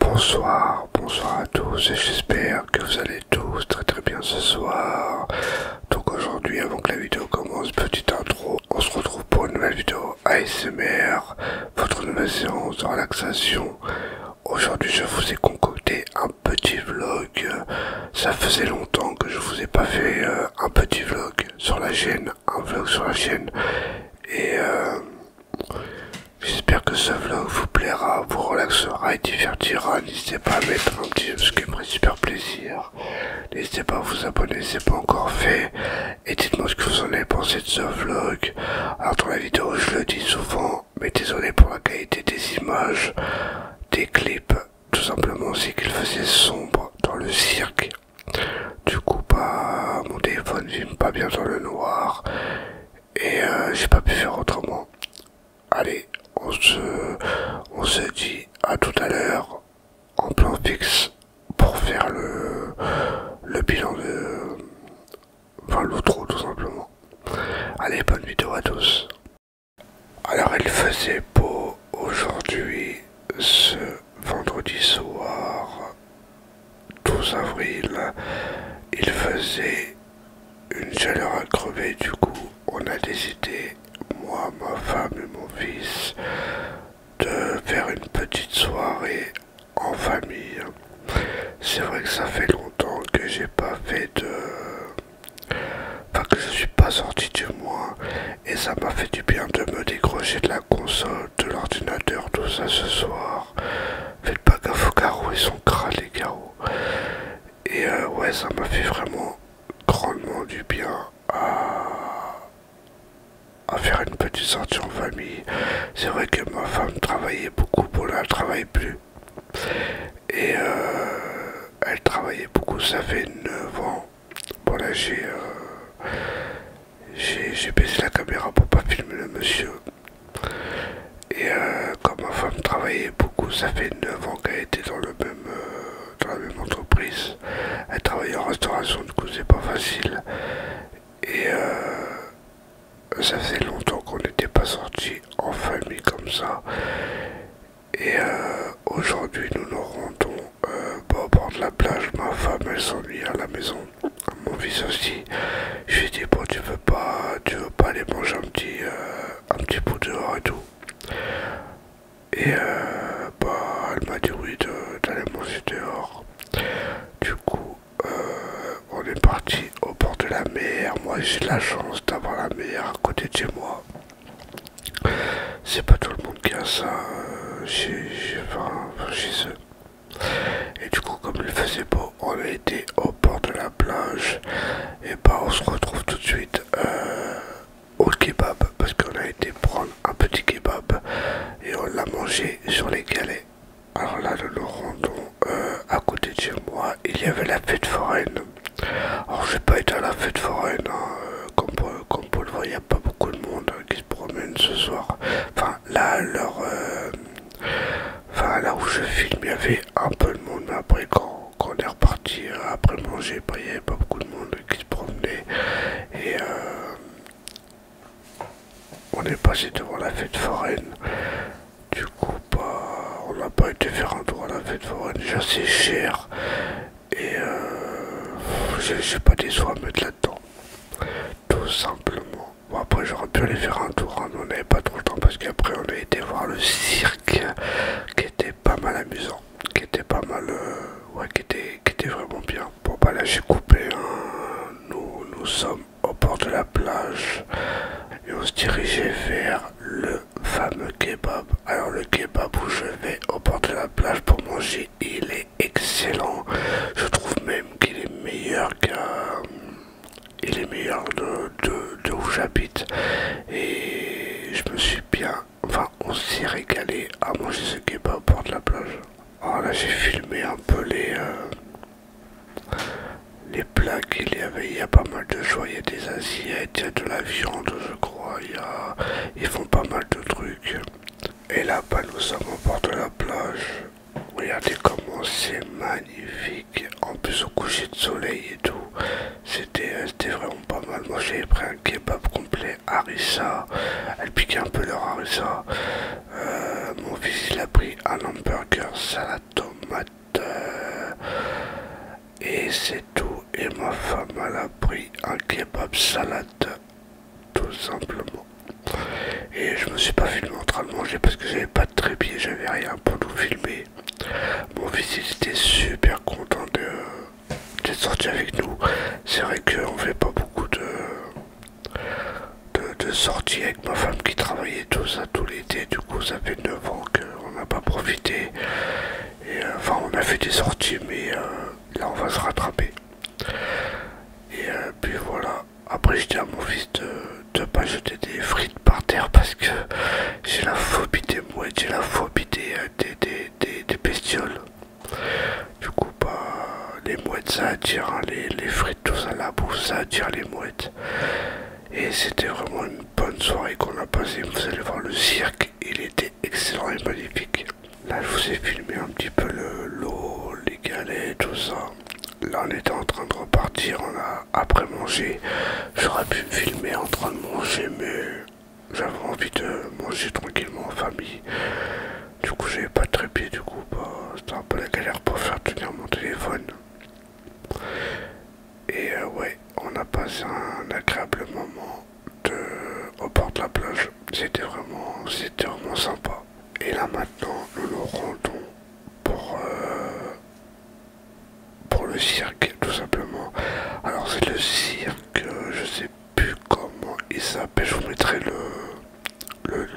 Bonsoir, bonsoir à tous et j'espère que vous allez tous très très bien ce soir. Donc aujourd'hui avant que la vidéo commence, petite intro, on se retrouve pour une nouvelle vidéo ASMR, votre nouvelle séance de relaxation Aujourd'hui je vous ai concocté un petit vlog. Ça faisait longtemps que je vous ai pas fait euh, un petit vlog sur la chaîne, un vlog sur la chaîne. Et euh, j'espère que ce vlog vous plaira, vous relaxera et divertira. N'hésitez pas à mettre un petit ce qui me ferait super plaisir. N'hésitez pas à vous abonner si c'est pas encore fait. Et dites-moi ce que vous en avez pensé de ce vlog. Alors dans la vidéo je le dis souvent mais désolé pour la qualité des images, des clips, tout simplement c'est qu'il faisait sombre dans le cirque. Du coup, pas bah, mon téléphone vit pas bien dans le noir et euh, j'ai pas pu faire autrement. Allez, on se, dit à tout à l'heure en plan fixe pour faire le bilan de Enfin l'outro tout simplement. Allez, bonne vidéo à tous. Alors il faisait beau aujourd'hui, ce vendredi soir 12 avril. Il faisait une chaleur à crever du coup. On a décidé, moi, ma femme et mon fils, de faire une petite soirée en famille. C'est vrai que ça fait longtemps que j'ai pas fait de. Enfin, que je suis pas sorti du mois et ça m'a fait du bien de me décrocher de la console, de l'ordinateur, tout ça ce soir. Faites pas gaffe aux carreaux, ils sont crades les carreaux. Et euh, ouais, ça m'a fait vraiment grandement du bien à, à faire une petite sortie en famille. C'est vrai que ma femme travaillait beaucoup, pour la elle travaille plus, et euh, elle travaillait beaucoup, ça fait 9 ans. Bon là euh, j'ai baissé la caméra pour pas filmer le monsieur. Et comme euh, ma femme travaillait beaucoup, ça fait 9 ans qu'elle était dans, le même, dans la même entreprise. Elle travaillait en restauration, du coup c'est pas facile. Et ça faisait longtemps qu'on n'était pas sorti en famille comme ça. Et euh, aujourd'hui, nous nous rendons pas euh, bah, au bord de la plage. Ma femme, elle s'ennuie à la maison. Mon fils aussi. Je lui ai dit, bon, tu veux pas, tu veux pas aller manger un petit, euh, un petit bout dehors et tout. Et bah, elle m'a dit oui d'aller manger dehors. Du coup, euh, on est parti au bord de la mer. Moi, j'ai la chance d'avoir la mer à côté de chez moi. C'est pas tout le monde qui a ça euh, chez, eux. Et du coup, comme il faisait beau, on a été au bord de la plage. Et bah, on se retrouve tout de suite euh, au kebab parce qu'on a été prendre un petit kebab et on l'a mangé sur les galets. Alors là, le nous rendons euh, à côté de chez moi. Il y avait la fête foraine. Alors, j'ai pas été à la fête foraine. Hein, euh, comme, euh, comme vous le voyez, il n'y a pas beaucoup de monde qui se promène ce soir. Enfin, là, leur, enfin, là où je filme, il y avait un peu de monde. Mais après, quand, on est reparti après manger, il ben, n'y avait pas beaucoup de monde qui se promenait. Et on est passé devant la fête foraine. Du coup, bah, on n'a pas été faire un tour à la fête foraine. J'ai assez cher. Et euh, je j'ai pas des soins à mettre là-dedans. Tout simplement. Bon, après, j'aurais pu aller faire un tour, hein, mais on n'avait pas trop le temps parce qu'après, on a été voir le cirque qui était pas mal amusant. Qui était pas mal. Euh, ouais, qui était, vraiment bien. Bon, bah là, j'ai coupé. Hein. nous, nous sommes au bord de la plage et on se dirigeait vers le fameux kebab. Alors le kebab où je vais au bord de la plage pour manger, il est excellent. Je trouve même qu'il est meilleur qu'un Il est meilleur de, de, où j'habite. Et je me suis bien... Enfin, on s'est régalé à manger ce kebab au bord de la plage. Alors ah, là, j'ai filmé un peu les... Euh, les plats qu'il y avait, il y a pas mal de choix, il y a des assiettes, il y a de la viande je crois, il y a... ils font pas mal de trucs. Et là-bas nous sommes en bord de la plage. Regardez comment c'est magnifique. En plus au coucher de soleil et tout. C'était vraiment pas mal. Moi j'avais pris un kebab complet, harissa. Elle piquait un peu leur harissa. Euh, mon fils il a pris un hamburger, salade tomate et c'est tout. Et ma femme elle a pris un kebab salade tout simplement. Et je me suis pas filmé en train de manger parce que j'avais pas de trépied, j'avais rien pour nous filmer. Mon fils il était super content de, de sorti avec nous. C'est vrai qu'on fait pas beaucoup de de, de avec ma femme qui travaillait tout ça tout l'été. Du coup, ça fait 9 ans qu'on n'a pas profité. Et, euh, enfin, on a fait des sorties, mais euh, là, on va se rattraper. Et euh, puis voilà. Après, j'ai dit à mon fils de ne pas jeter des frites par terre parce que j'ai la phobie des mouettes, j'ai la phobie des, des bestioles. Du coup, bah, les mouettes, ça attire, hein, les, frites, tout ça, la bouffe, ça attire les mouettes. Et c'était vraiment une bonne soirée qu'on a passé Vous allez voir le cirque, il était excellent et magnifique. Là, je vous ai filmé un petit peu l'eau, les galets, tout ça. Là, on était en train de repartir, on a après manger J'aurais pu filmer en train de manger, mais j'avais envie de manger tranquillement en famille. Du coup, j'avais pas de trépied, du coup, bah, c'était un peu la galère pour faire tenir mon téléphone. Et euh, ouais, on a passé un agréable moment au bord de la plage. C'était vraiment, c'était vraiment sympa. Et là maintenant, nous nous rendons pour, euh, pour le cirque, tout simplement. Alors c'est le cirque, euh, je sais plus comment il s'appelle, je vous mettrai le le,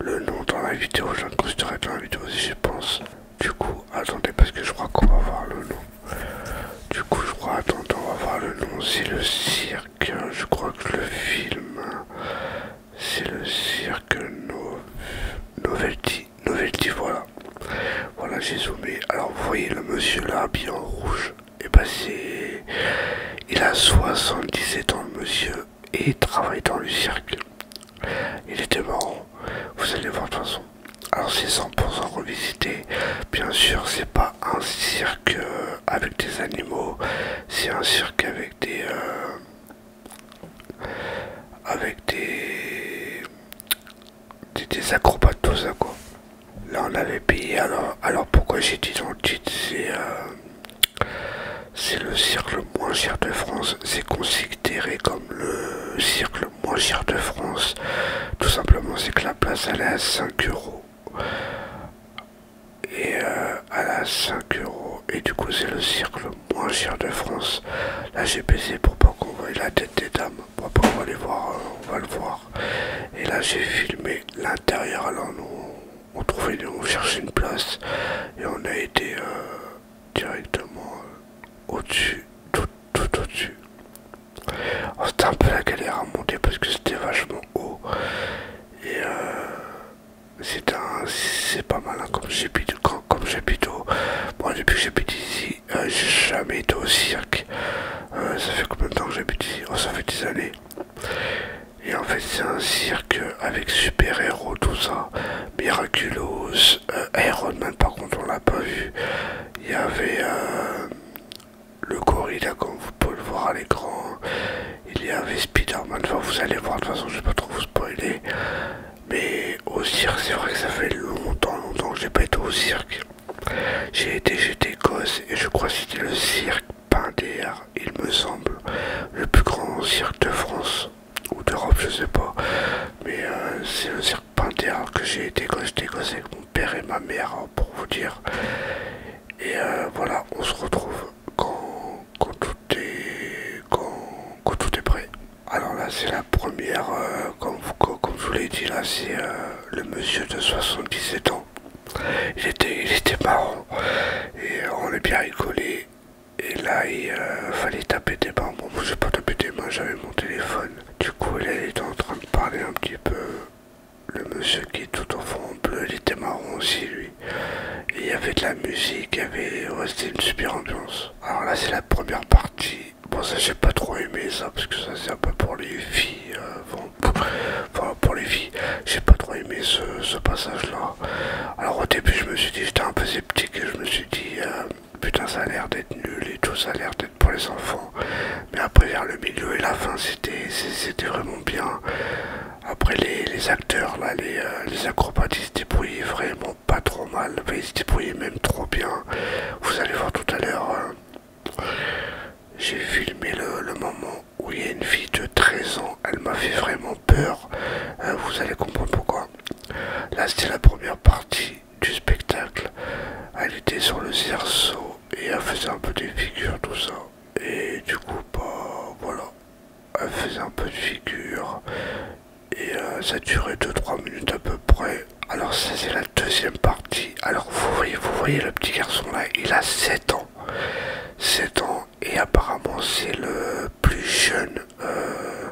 le, nom dans la vidéo, je de dans la vidéo si je pense. Du coup, attendez parce que je crois qu'on va voir le nom. Du coup, je crois, attendez, on va voir le nom. C'est le cirque, je crois que le film, c'est le cirque Novelty. Novelty, voilà. Voilà, j'ai zoomé. Alors, vous voyez le monsieur là, habillé en rouge et bah c'est. Il a 77 ans, monsieur, et travaille dans le cirque. Il était marrant, vous allez voir de toute façon. Alors c'est 100% revisité, bien sûr c'est pas un cirque euh, avec des animaux, c'est un cirque avec des... Euh, avec des... des, acrobates, tout ça quoi. Là on avait payé, alors, alors pourquoi j'ai dit dans le titre, c'est... Euh, c'est le cirque moins cher de France. C'est considéré comme le cirque moins cher de France. Tout simplement, c'est que la place elle est à 5 euros. Et euh, à la 5 euros. Et du coup, c'est le cirque moins cher de France. Là, j'ai baissé pour pas qu'on voie la tête des dames. pour on va les voir, euh, on va le voir. Et là, j'ai filmé l'intérieur. à nous on trouvait, cherchait une place et on a été euh, directement euh, au-dessus, tout, tout au-dessus. C'était un peu la galère à monter parce que c'était vachement haut et euh, c'est un, c'est pas mal hein, comme j'habite, comme, comme j'habite haut. Moi depuis que j'habite ici, j'ai jamais été au cirque. ça fait combien de temps que j'habite ici oh, ça fait des années. Et en fait, c'est un cirque avec super héros, tout ça. Miraculous, euh, Iron par contre, on l'a pas vu. Il y avait euh, le corrida comme vous pouvez le voir à l'écran. Il y avait Spider-Man, enfin, vous allez voir, de toute façon, je vais pas trop vous spoiler. Mais au cirque, c'est vrai que ça fait longtemps, longtemps que j'ai pas été au cirque. J'ai été, j'étais gosse, et je crois que c'était le cirque Pinder il me semble, le plus grand cirque de France ou d'Europe, je sais pas, mais euh, c'est le cirque panthère que j'ai été quand j'étais avec mon père et ma mère, hein, pour vous dire. Et euh, voilà, on se retrouve quand, tout est, quand, tout est prêt. Alors là, c'est la première, euh, comme, je vous l'ai dit, là, c'est le monsieur de 77 ans il était, marrant. Et on est bien rigolé. Et là, il euh, fallait taper des mains. Bon, moi, j'ai pas taper des mains, j'avais mon téléphone. Du coup, là, il était en train de parler un petit peu. Le monsieur qui est tout en fond bleu, il était marron aussi, lui. Et il y avait de la musique, il y avait. une super ambiance. Alors là, c'est la première partie. Bon, ça, j'ai pas trop aimé ça, parce que ça, c'est un peu pour les filles. Euh, pour, pour les filles. J'ai pas trop aimé ce, passage-là. Alors au début, je me suis dit, j'étais un peu sceptique je me suis dit, euh, putain, ça a l'air d'être nul et tout, ça a l'air d'être pour les enfants. Mais après, vers le milieu et la fin, c'était vraiment bien. Après, les, acteurs, là, euh, les, acrobates, ils se débrouillaient vraiment pas trop mal. Mais ils se débrouillaient même trop bien. Vous allez voir tout à l'heure. Euh, j'ai filmé le, le moment où il y a une fille de 13 ans, elle m'a fait vraiment peur. Hein, vous allez comprendre pourquoi. Là, c'était la première partie du spectacle. Elle était sur le cerceau et elle faisait un peu des figures, tout ça. Et du coup, bah voilà, elle faisait un peu de figure Et euh, ça durait 2-3 minutes à peu près. Alors ça c'est la deuxième partie. Alors vous voyez, vous voyez le petit garçon là, il a 7 ans. 7 ans et apparemment c'est le plus jeune euh,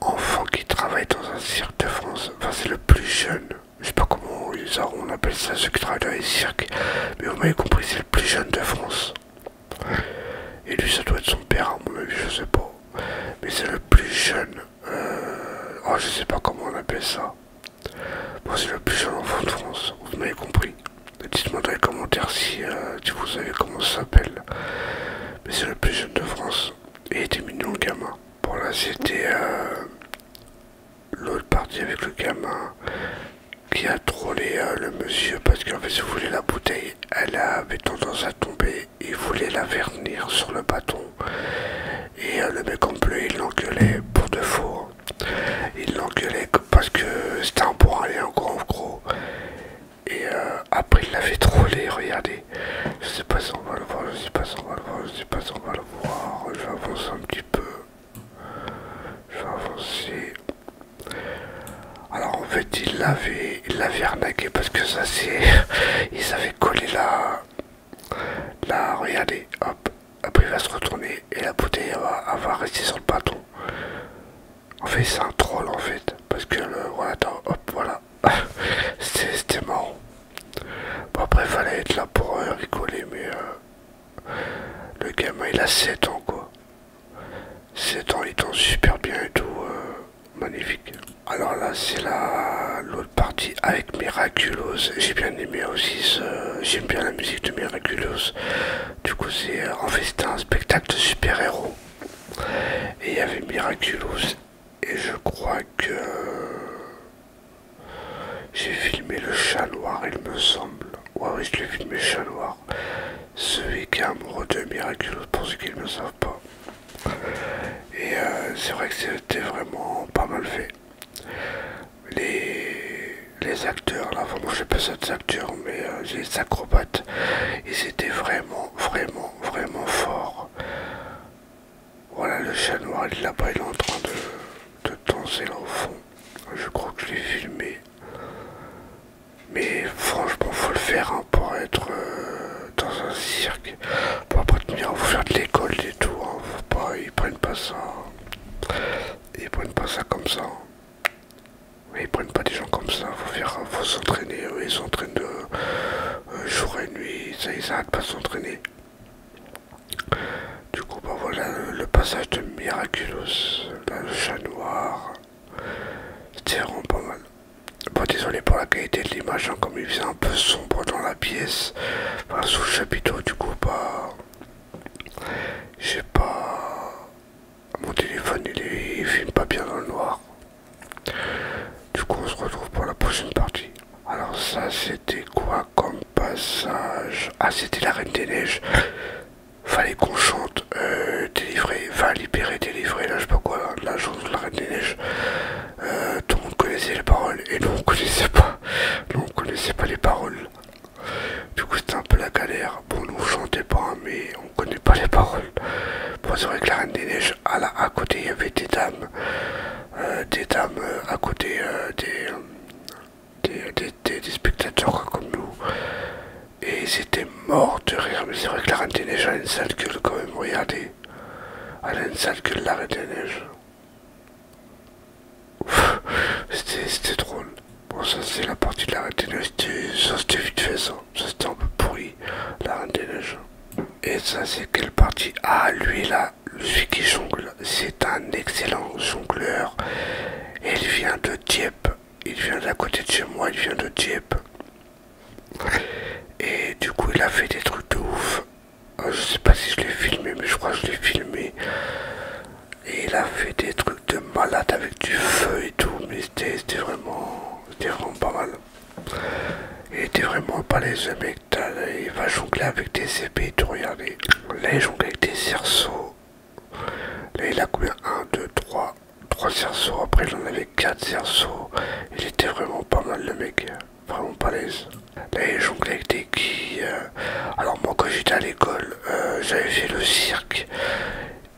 enfant qui travaille dans un cirque de France. Enfin c'est le plus jeune, je sais pas comment ils on appelle ça ceux qui travaillent dans les cirques, mais vous m'avez compris c'est le plus jeune de France. Et lui ça doit être son père à mon avis, je sais pas. Mais c'est le plus jeune. Euh, oh je sais pas comment on appelle ça. Bon, c'est le plus jeune enfant de France, vous m'avez compris. Dites-moi dans les commentaires euh, si, vous savez comment ça s'appelle. Mais c'est le plus jeune de France. Et il était mignon le gamin. Bon là c'était euh, l'autre partie avec le gamin qui a trollé euh, le monsieur parce qu'en fait si vous voulez la bouteille, elle avait tendance à tomber. Il voulait la vernir sur le bâton. Et le mec en bleu il l'engueulait pour de faux. Il l'engueulait parce que c'était un aller en gros gros. Et euh, après il l'avait trollé, regardez. Je sais pas si on va le voir, je sais pas si on va le voir, je sais pas si on va le voir. Je vais avancer un petit peu. Je vais avancer. Alors en fait il l'avait il l'avait arnaqué parce que ça c'est. Il avaient collé là Là, regardez, hop. Après, il va se retourner et la bouteille va, va rester sur le bâton. En fait, c'est un troll en fait. Parce que le voilà hop, voilà. C'était marrant. après, fallait être là pour euh, rigoler, mais euh, le gamin il a 7 ans quoi. 7 ans, il tombe super bien et tout. Euh, magnifique. Alors là, c'est la l'autre partie. avec Miraculous. J'ai bien aimé aussi, ce... j'aime bien la musique de Miraculous. Du coup, c'est en fait, c'était un spectacle de super-héros. Et il y avait Miraculous. Et je crois que j'ai filmé le chat il me semble. Ouais, oui, je l'ai filmé le chat noir. Celui qui est amoureux de Miraculous, pour ceux qui ne le savent pas. Et euh, c'est vrai que c'était vraiment pas mal fait les, acteurs, là, vraiment j'ai pas ça des acteurs, mais j'ai euh, les acrobates, ils étaient vraiment, vraiment, vraiment forts. Voilà, le chat noir, il est là-bas, il est en train de, danser là au fond. Je crois que je l'ai filmé. Mais franchement, faut le faire hein, pour être euh, dans un cirque. Pour pas tenir, vous faire de l'école et tout. Hein. pas, ils prennent pas ça ils prennent pas ça comme ça. ils prennent pas des gens comme ça. Faut faire, faut s'entraîner. Ils s'entraînent de euh, euh, jour et nuit. Ça, ils arrêtent pas de s'entraîner. Du coup, bah voilà le, passage de Miraculous, le chat noir. C'était vraiment pas mal. Bon, désolé pour la qualité de l'image, hein, comme il faisait un peu sombre dans la pièce, sous le chapiteau, du coup, bah, j'ai pas. Mon téléphone il, filme pas bien dans le noir. Du coup, on se retrouve pour la prochaine partie. Alors, ça c'était quoi comme passage Ah, c'était la Reine des Neiges. Fallait qu'on chante euh, délivrer, va libérer, délivrer. Là, je sais pas quoi, la de la Reine des Neiges. Euh, tout le monde connaissait les paroles et nous on connaissait pas. Nous on connaissait pas les paroles. Du coup, c'était un peu la galère. Bon, nous on chantait pas, mais on connaît pas les paroles. Bon, c'est vrai que la Reine des Neiges, à, côté, il y avait des dames. Euh, des dames euh, à côté euh, des, des, spectateurs comme nous. Et ils étaient morts de rire. Mais c'est vrai que la Reine des Neiges a une sale gueule quand même, regardez. Elle a une sale gueule, la Reine des Neiges. C'était drôle. Bon, ça c'est la partie de la Reine des Neiges. Ça c'était vite fait ça. Ça c'était un peu pourri, la Reine des Neiges. Et ça c'est quelle partie Ah, lui là, celui qui jongle, c'est un excellent jongleur. il vient de Dieppe. Il vient d'à côté de chez moi, il vient de Dieppe. Et du coup, il a fait des trucs de ouf. Ah, je sais pas si je l'ai filmé, mais je crois que je l'ai filmé. Et il a fait des trucs de malade avec du feu et tout, mais c'était vraiment, vraiment pas mal. Il était vraiment pas les mec, il va jongler avec des épées et tout, regardez. Là il jongle avec des cerceaux. Là il a combien 1, 2, 3, 3 cerceaux, après il en avait 4 cerceaux. Il était vraiment pas mal le mec vraiment l'aise. Là, jonglait avec des qui euh, Alors, moi, quand j'étais à l'école, euh, j'avais fait le cirque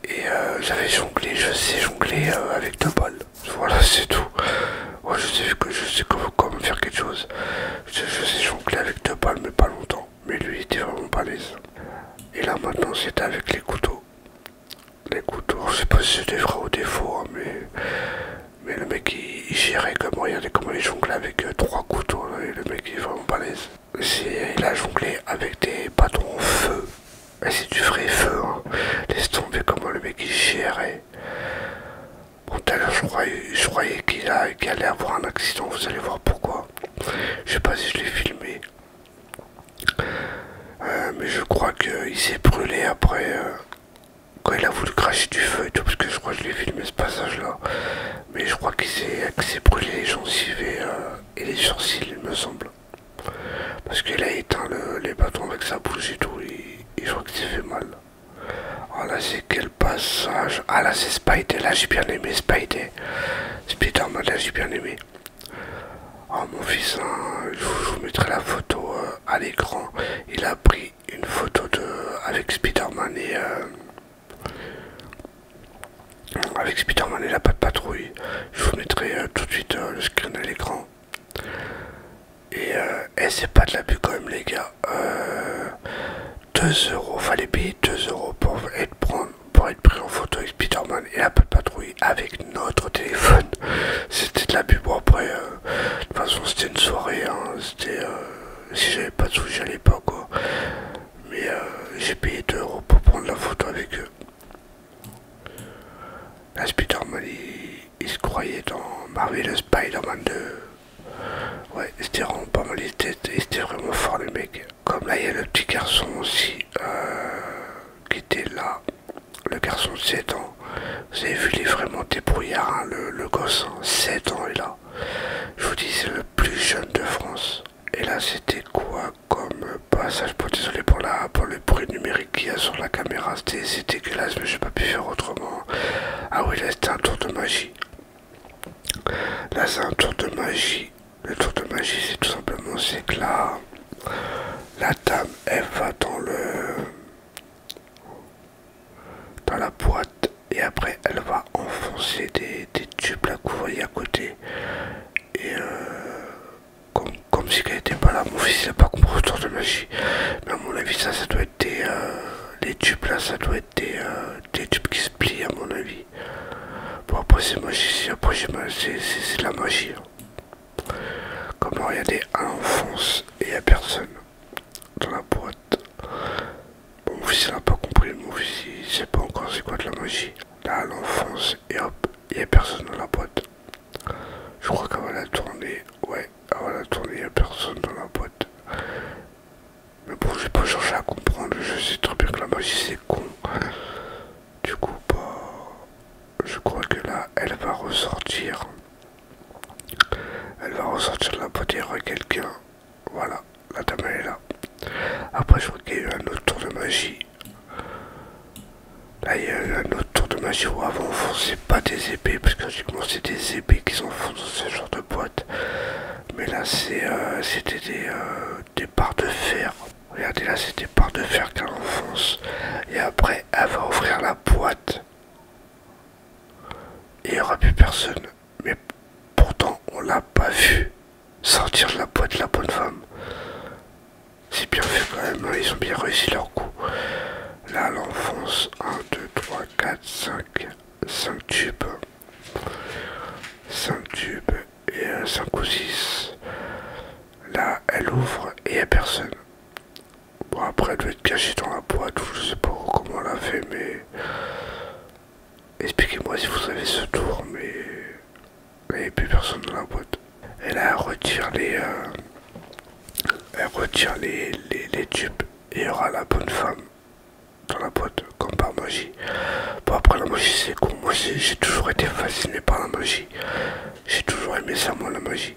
et euh, j'avais jonglé, je sais jongler avec deux balles. Voilà, c'est tout. je sais que je sais comment, faire quelque chose. Je, sais jongler avec deux balles, mais pas longtemps. Mais lui, il était vraiment pas l'aise. Et là, maintenant, c'est avec les couteaux. Les couteaux, je sais pas si c'est des vrais ou des faux, hein, mais mais le mec il, gérait comme regardez comment il jonglait avec euh, trois couteaux hein, le mec il est vraiment balèze. il a jonglé avec des bâtons en feu. c'est du vrai feu hein. Laisse tomber comment le mec il gérait. Bon je croyais, je croyais qu'il allait avoir un accident, vous allez voir pourquoi. Je sais pas si je l'ai filmé. Euh, mais je crois qu'il s'est brûlé après. Euh, quand il a voulu cracher du feu et tout, parce que je crois que je l'ai filmé ce passage-là, mais je crois qu'il s'est brûlé les gencives et, euh, et les sourcils, il me semble. Parce qu'il a éteint les bâtons avec sa bouche et tout, et, je crois que c'est fait mal. Ah là c'est quel passage Ah là c'est Spidey, là j'ai bien aimé Spidey. Spider-Man là j'ai bien aimé. Oh mon fils, hein, je, vous, mettrai la photo euh, à l'écran. Il a pris une photo de avec Spiderman et euh, avec Spiderman et la patte patrouille. Je vous mettrai euh, tout de suite euh, le screen à l'écran. Et, c'est pas de l'abus quand même les gars. 2 euros, fallait payer 2 euros pour être, pour être pris en photo avec Spiderman et la patte patrouille avec notre téléphone. C'était de l'abus. Bon après, de toute façon c'était une soirée hein. c'était euh, si j'avais pas de sous j'allais pas quoi mais euh, j'ai payé 2 euros pour prendre la photo avec eux la Spider-Man il, se croyait dans Marvel Spider-Man 2 ouais c'était vraiment pas mal les têtes c'était vraiment fort le mec comme là il y a le petit garçon aussi euh, qui était là le garçon de 7 ans vous avez vu, il est vraiment débrouillard, hein, le, le gosse. 7 hein. ans, il là Je vous dis, c'est le plus jeune de France. Et là, c'était quoi comme passage pour Désolé pour, la, pour le bruit numérique qu'il y a sur la caméra. C'était dégueulasse, mais n'ai pas pu faire autrement. Ah oui, là, c'était un tour de magie. Là, c'est un tour de magie. Le tour de magie, c'est tout simplement, c'est que là, la dame, elle va dans le dans la boîte et après elle va enfoncer des, des tubes la couvrir à côté et euh, comme, si elle était pas là mon fils n'a pas compris autour de magie mais à mon avis ça ça doit être des euh, tubes là ça doit être euh, des, tubes qui se plient à mon avis bon après c'est magie après c'est la magie comment regarder regardez à enfonce et à personne dans la boîte. mon fils n'a pas compris, mon fils il sait pas encore c'est quoi de la magie. Là, l'enfance, et hop, il n'y a personne dans la boîte. Je crois va la tourner. ouais, avant la tournée, il n'y a personne dans la boîte. Mais bon, je vais pas chercher à comprendre, je sais trop bien que la magie c'est con. Du coup, bah, je crois que là, elle va ressortir. Elle va ressortir de la boîte et quelqu'un. Voilà, la dame est là. Après, je crois qu'il y a eu un autre tour de magie. Là, il y a eu un autre tour de magie où avant on pas des épées, parce que logiquement c'est des épées qui s'enfoncent dans ce genre de boîte. Mais là, euh, c'était des, barres euh, de fer. Regardez là, c'était des barres de fer qu'elle enfonce. Et après, elle va ouvrir la boîte. Il n'y aura plus personne. Mais pourtant, on l'a pas vu sortir de la boîte la bonne femme. C'est bien fait quand même, hein. ils ont bien réussi leur coup. Là, l'enfonce 1, 2, 3, 4, 5, 5 tubes. 5 tubes et 5 ou 6. Là, elle ouvre et il n'y a personne. Bon, après, elle devait être cachée dans la boîte, je sais pas comment elle a fait, mais. Expliquez-moi si vous savez ce tour, mais. Il n'y avait plus personne dans la boîte. Et là, euh, elle retire les. Elle retire les, tubes et il y aura la bonne femme dans la boîte, comme par magie. Bon, après, la magie, c'est con. Moi, j'ai toujours été fasciné par la magie. J'ai toujours aimé ça, moi, la magie.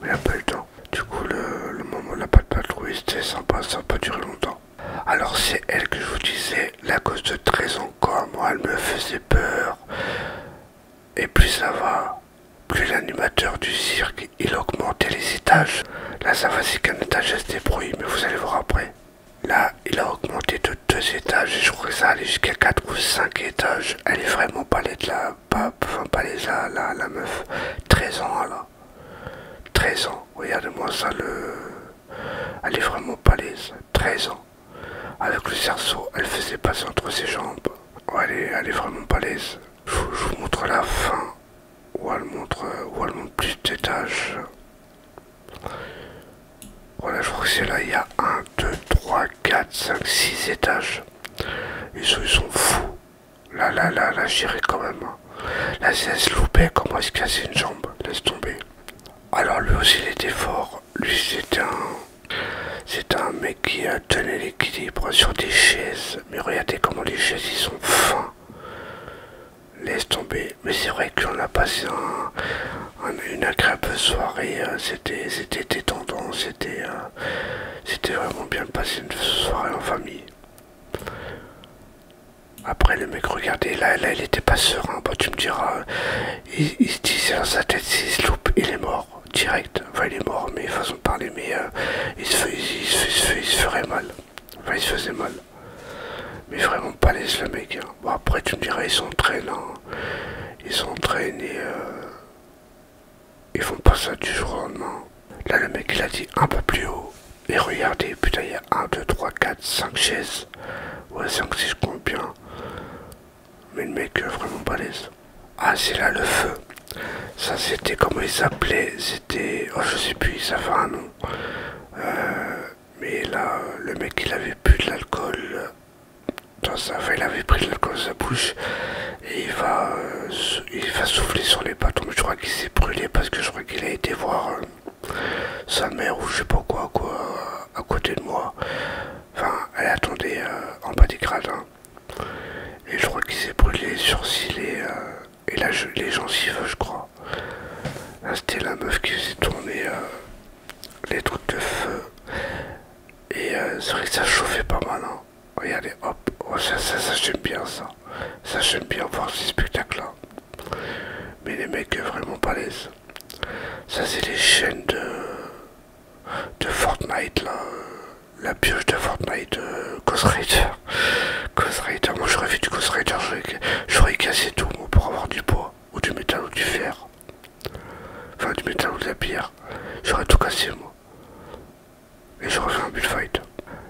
Mais il a pas eu le temps. Du coup, le, moment n'a l'a pas patrouille c'était sympa, ça n'a pas duré longtemps. Alors, c'est elle que je vous disais, la cause de 13 ans, Moi, elle me faisait peur. Et plus ça va, plus l'animateur du cirque, il augmentait les étages. Là, ça va, c'est qu'un étage, elle se mais vous allez voir après. Là, il a augmenté de 2 étages et je crois que ça allait jusqu'à 4 ou 5 étages. Elle est vraiment pas de là pas, enfin, pas la, meuf, 13 ans, là. 13 ans, regardez-moi ça, le... elle est vraiment pas l'aise, 13 ans. Avec le cerceau, elle faisait passer entre ses jambes. elle, est, vraiment pas Je, vous montre la fin, où elle montre, où elle montre plus d'étages. Voilà, je crois que c'est là, il y a 1, 2, 3, 4, 5, 6 étages. Ils sont, fous. Là, là, là, la j'irai quand même. Hein. La CS loupait, comment est-ce qu'il y a une jambe Laisse tomber. Alors lui aussi, il était fort. Lui, c'était un... C'est un mec qui a tenait l'équilibre sur des chaises. Mais regardez comment les chaises, ils sont fins. Laisse tomber. Mais c'est vrai qu'on a passé une agréable soirée. Euh, c'était détendant, euh, c'était vraiment bien passer une soirée en famille. Après le mec, regardez, là, il était pas serein, bah, tu me diras, euh, il, se disait dans sa tête, s'il se loupe, il est mort, direct. Enfin il est mort, mais façon de parler, mais il, se, ferait mal. il se faisait mal. Mais vraiment pas laisse le mec. Hein. Bon après tu me diras, ils s'entraînent. Hein. Ils s'entraînent et... Euh, ils font pas ça du jour au lendemain. Là, le mec, il a dit un peu plus haut. Et regardez, putain, il y a 1, 2, 3, 4, 5 chaises. Ouais, 5, si je compte bien Mais le mec, euh, vraiment balèze. Ah, c'est là le feu. Ça, c'était comment il s'appelait C'était. Oh, je sais plus, ça fait un nom. Euh, mais là, le mec, il avait bu de l'alcool il avait pris de l'alcool de sa bouche et euh, il va, souffler sur les bâtons. Je crois qu'il s'est brûlé parce que je crois qu'il a été voir euh, sa mère ou je sais pas quoi, à côté de moi. Enfin, elle attendait euh, en bas des gradins. Hein. Et je crois qu'il s'est brûlé sur sourcils et, là, les gencives, je crois. C'était la meuf qui s'est tournée les trucs de feu. Et c'est vrai que ça chauffait pas mal. Hein. Regardez, oh, hop, oh, ça, j'aime bien ça. Ça j'aime bien voir ces spectacles-là. Mais les mecs euh, vraiment pas l'aise. Ça c'est les chaînes de, de Fortnite là. La pioche de Fortnite, euh, Ghost moi j'aurais fait du Ghost Rider, j'aurais cassé tout pour avoir du bois, ou du métal ou du fer. Enfin du métal ou de la pierre. J'aurais tout cassé moi. Et je reviens à bullfight.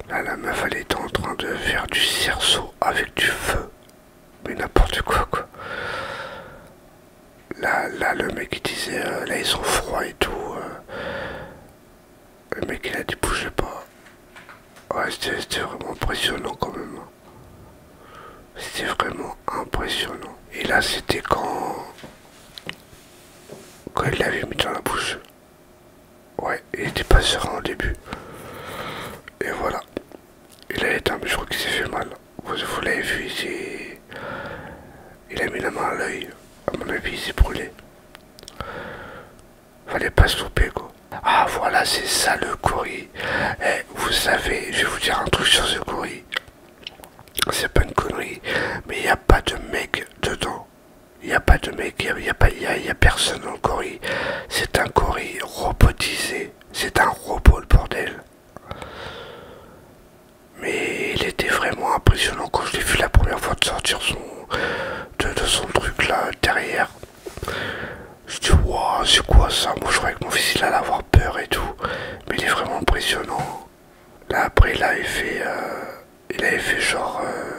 Là, la meuf, elle était en train de faire du cerceau avec du feu. Mais n'importe quoi, quoi. Là, le mec, il disait, euh, là, ils sont froids et tout. Euh. Le mec, il a dit, bougez pas. Ouais, c'était vraiment impressionnant, quand même. C'était vraiment impressionnant. Et là, c'était quand quand il l'avait mis dans la bouche. Ouais, il était pas serein au début. Et voilà. Il a éteint, je crois qu'il s'est fait mal. Vous, l'avez vu, il a mis la main à l'œil. À mon avis, il s'est brûlé. Fallait pas se tromper, quoi. Ah, voilà, c'est ça le courrier. Eh, vous savez, je vais vous dire un truc sur ce courrier. C'est pas une connerie, mais il n'y a pas de mec dedans. Il n'y a pas de mec, il n'y a, y a, personne en le C'est un cori robotisé. C'est un robot le bordel. Mais il était vraiment impressionnant quand je l'ai vu la première fois de sortir son, de, son truc là derrière. Je dis, waouh, c'est quoi ça Moi je croyais que mon fils il allait avoir peur et tout. Mais il est vraiment impressionnant. Là après il avait fait, euh, il avait fait genre, euh,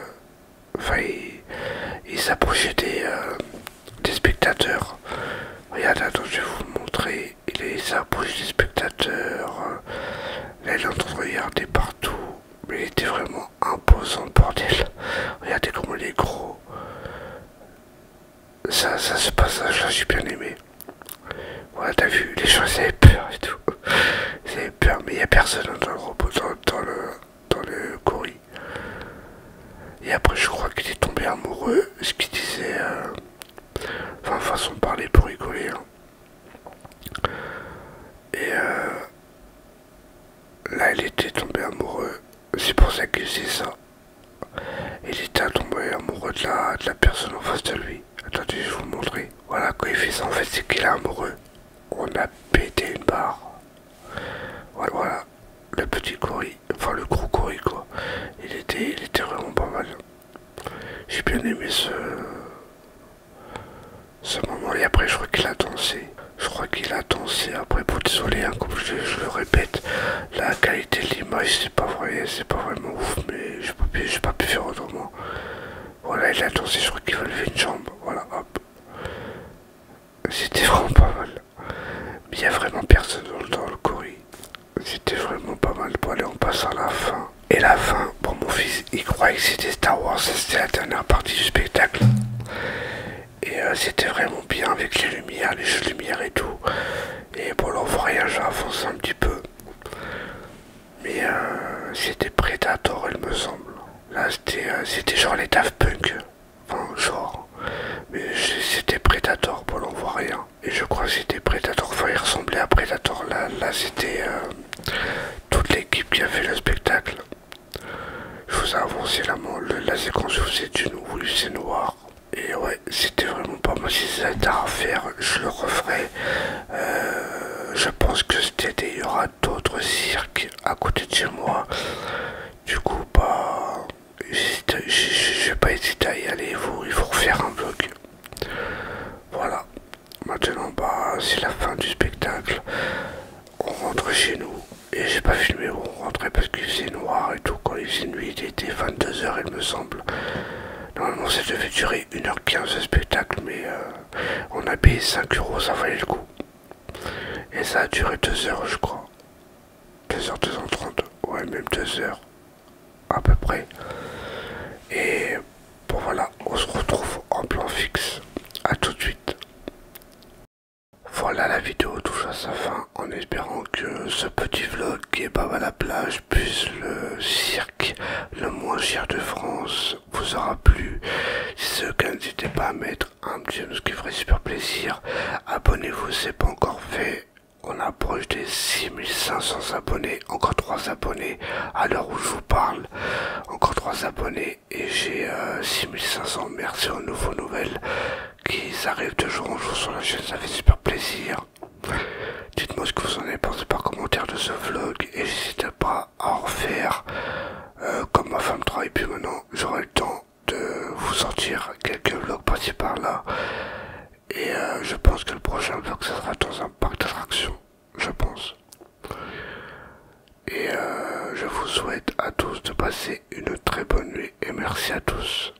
enfin il, s'approchait des, euh, spectateurs. regardez attends, je vais vous montrer. Il s'approche des spectateurs. Là il est en train partout. Mais il était vraiment imposant bordel. Regardez comment il est gros. Ça, ça se passe là j'ai bien aimé voilà t'as vu, les gens ils avaient peur et tout. Ils peur, mais il a personne dans le robot, dans, le, dans le courrier. Et après, je crois qu'il est tombé amoureux, ce qu'il disait. Euh, enfin, façon de parler pour rigoler. Hein. Et euh, là, il était tombé amoureux. C'est pour ça qu'il faisait ça. Il était tombé amoureux de de la personne en face de lui. Attendez, je vais vous montrer. Voilà, quand il fait ça, en fait, c'est qu'il est amoureux. On a pété une barre. Voilà, voilà. Le petit courrier, enfin le gros courrier, quoi. Il était, il était vraiment pas mal. J'ai bien aimé ce, ce moment. Et après, je crois qu'il a dansé. Je crois qu'il a dansé après. Pour désolé, hein, comme je le répète, la qualité de l'image c'est pas vrai c'est pas vraiment ouf mais j'ai pas pu faire autrement voilà il a dansé je crois qu'il va lever une jambe voilà hop c'était vraiment pas mal mais il a vraiment personne dans le courrier c'était vraiment pas mal bon allez on passe à la fin et la fin bon mon fils il croyait que c'était Star Wars c'était la dernière partie du spectacle et euh, c'était vraiment bien avec les lumières, les jeux de lumière et tout. Et bon, là, on voyage, avancé un petit peu. Mais euh, c'était Predator, il me semble. Là, euh, c'était genre les Daft Punk. Enfin, genre. Mais c'était Predator, pour on voit rien. Et je crois que c'était Predator. Enfin, il ressemblait à Predator. Là, c'était euh, toute l'équipe qui a fait le spectacle. Je vous ai la mort, la séquence où c'est du oui, c'est noir. Et ouais, c'était vraiment pas moi, Si c'était à refaire, je le referai. Euh, je pense que c'était il y aura d'autres cirques à côté de chez moi. Du coup, bah, je vais pas hésiter à y aller. Il faut, refaire un vlog Voilà. Maintenant, bah, c'est la fin du spectacle. On rentre chez nous. Et j'ai pas filmé où on rentrait parce qu'il faisait noir et tout. Quand il faisait nuit, il était 22h, il me semble. Normalement, ça devait durer 1h15 ce spectacle, mais euh, on a payé 5 euros, ça valait le coup. Et ça a duré 2 heures, je crois. 2h, 30 ouais, même 2 heures, à peu près. Et bon, voilà, on se retrouve en plan fixe. à tout de suite. Voilà, la vidéo touche à sa fin en espérant que ce petit vlog qui est pas à la plage puis le cirque le moins cher de France vous aura plu. Si ce cas, n'hésitez pas à mettre un petit ce qui ferait super plaisir. Abonnez-vous, c'est pas encore fait. On approche des 6500 abonnés, encore 3 abonnés à l'heure où je vous parle. Encore 3 abonnés et j'ai 6500. Euh, Merci aux nouveaux nouvelles qui arrivent de jour en jour sur la chaîne, ça fait super plaisir. Dites-moi ce que vous en avez pensé par commentaire de ce vlog et n'hésitez pas à en faire euh, comme ma femme travaille puis maintenant, j'aurai le temps de vous sortir quelques vlogs par-ci par-là. Et euh, je pense que le prochain vlog, ce sera dans un parc d'attractions, je pense. Et euh, je vous souhaite à tous de passer une très bonne nuit et merci à tous.